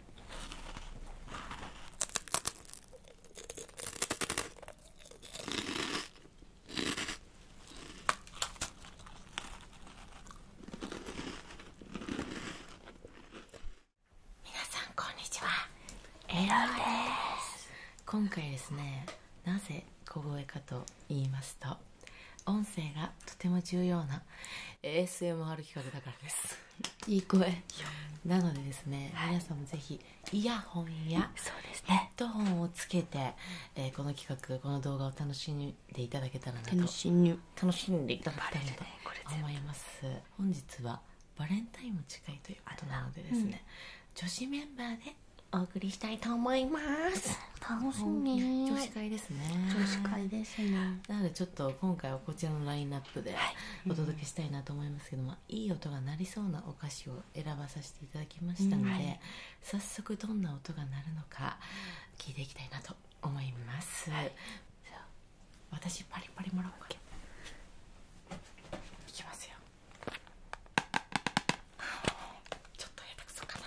皆さんこんにちはエロいで今回ですねなぜ小声かと言いますと音声がとても重要な ASMR 企画だからですいい声なのでですね、皆さんもぜひイヤホンやヘッドホンをつけて、えこの企画この動画を楽しんでいただけたらなと楽しんでいただけたらなと思います、本日はバレンタインも近いということなのでですね、女子メンバーでお送りしたいと思います楽しみすですねですねなのでちょっと今回はこちらのラインナップでお届けしたいなと思いますけども、い、い音が鳴りそうなお菓子を選ばさせていただきましたので、早速どんな音が鳴るのか聞いていきたいなと思います、じゃあ私パリパリもらおうかいきますよちょっとや手くそかな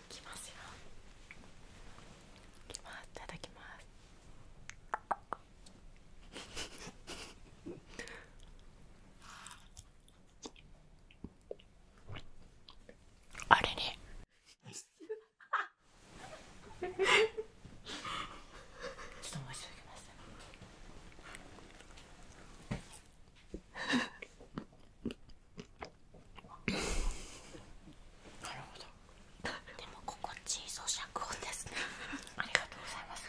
きますよいただきますあれねちょっと申し訳ませんあなるほも心地いい咀嚼音ですね ありがとうございます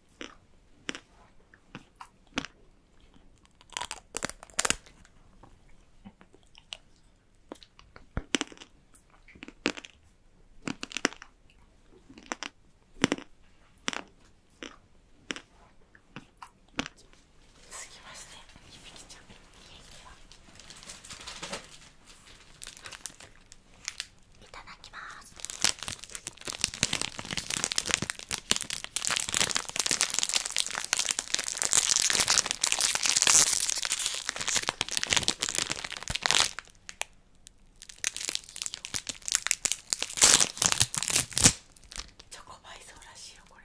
続きましてゆびきちゃんケーキはいただきますチョコバイソーらしいよこれ。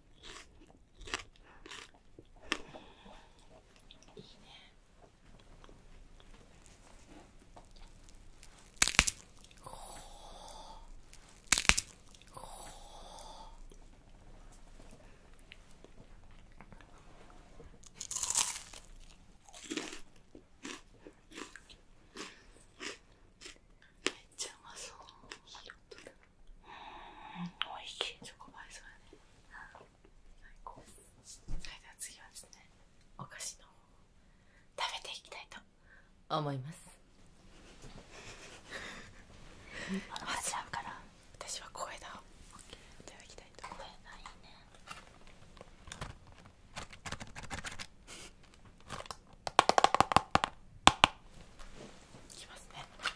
いいねめっちゃうまそう。うん、おいしいチョコバイソーね最高それでは次はですねお菓子の方食べていきたいと思いますあの端半から私は小いだきたいと思いますいねいきますね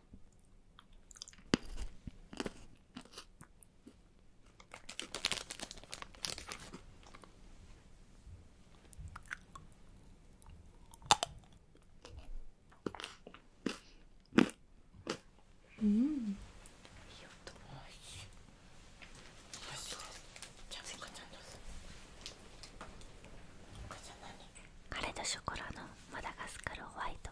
うんカレドショコラのマダガスカルホワイト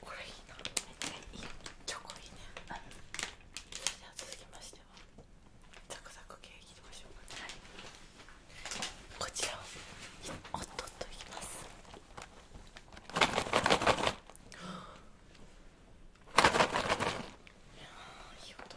これいいなめっちゃいいチョコいね、じゃあ続きましてはザクザク系いきましょうか、はい、こちらをおっとっといきますいやいい音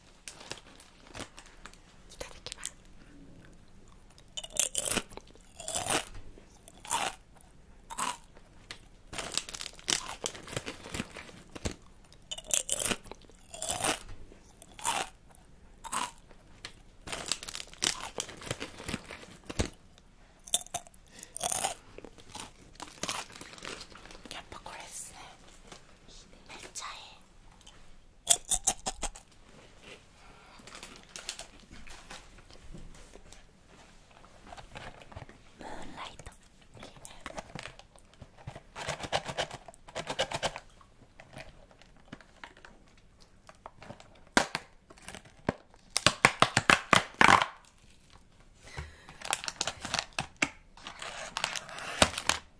いただきますやっぱこれですねめっちゃいいムーンライト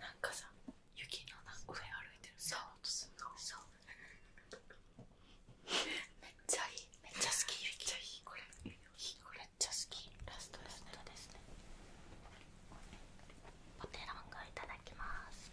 なんかさ雪の上歩いてるそうそう めっちゃいいめっちゃ好きめっちゃいいこれめちゃ好きラストですねポテロいただきます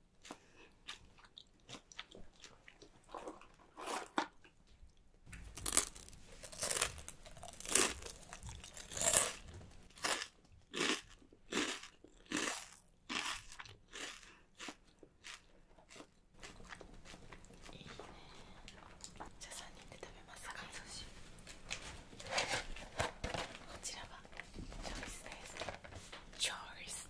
いいねじゃあ3人で食べますかこちらはチョイスですチョイス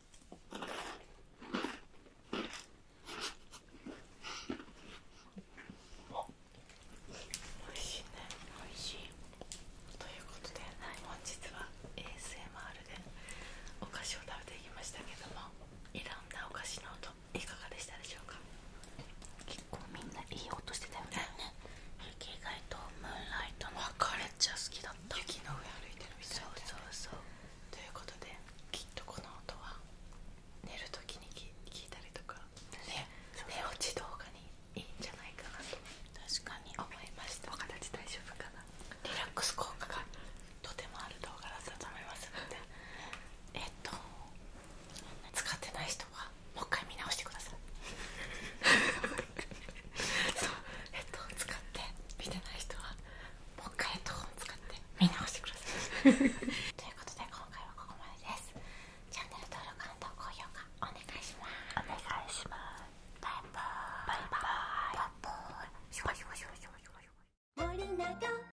おいしいねおいしいということで、はい、本日は ASMR でお菓子を食べていきましたけども選んだお菓子の音いかがでしたでしょうか結構みんないい音してたよね雪外とムーンライトの別れっちゃ好きだった雪の上歩いてるみたいそうそうそうということできっとこの音は寝るときに聞いたりとか、ね、寝落ち動画にいいんじゃないかなと確かに思いましたお形大丈夫かなリラックス効果がとてもある動画だったと思いますのでえっと使ってない人はもう一回見直してください そうえっと使って見てない人はもう一回ヘッドホン使って見直してください ということで今回はここまでですチャンネル登録いますますバイバーイバイバーイバイバーイシュワシュワシュワシュワシュワ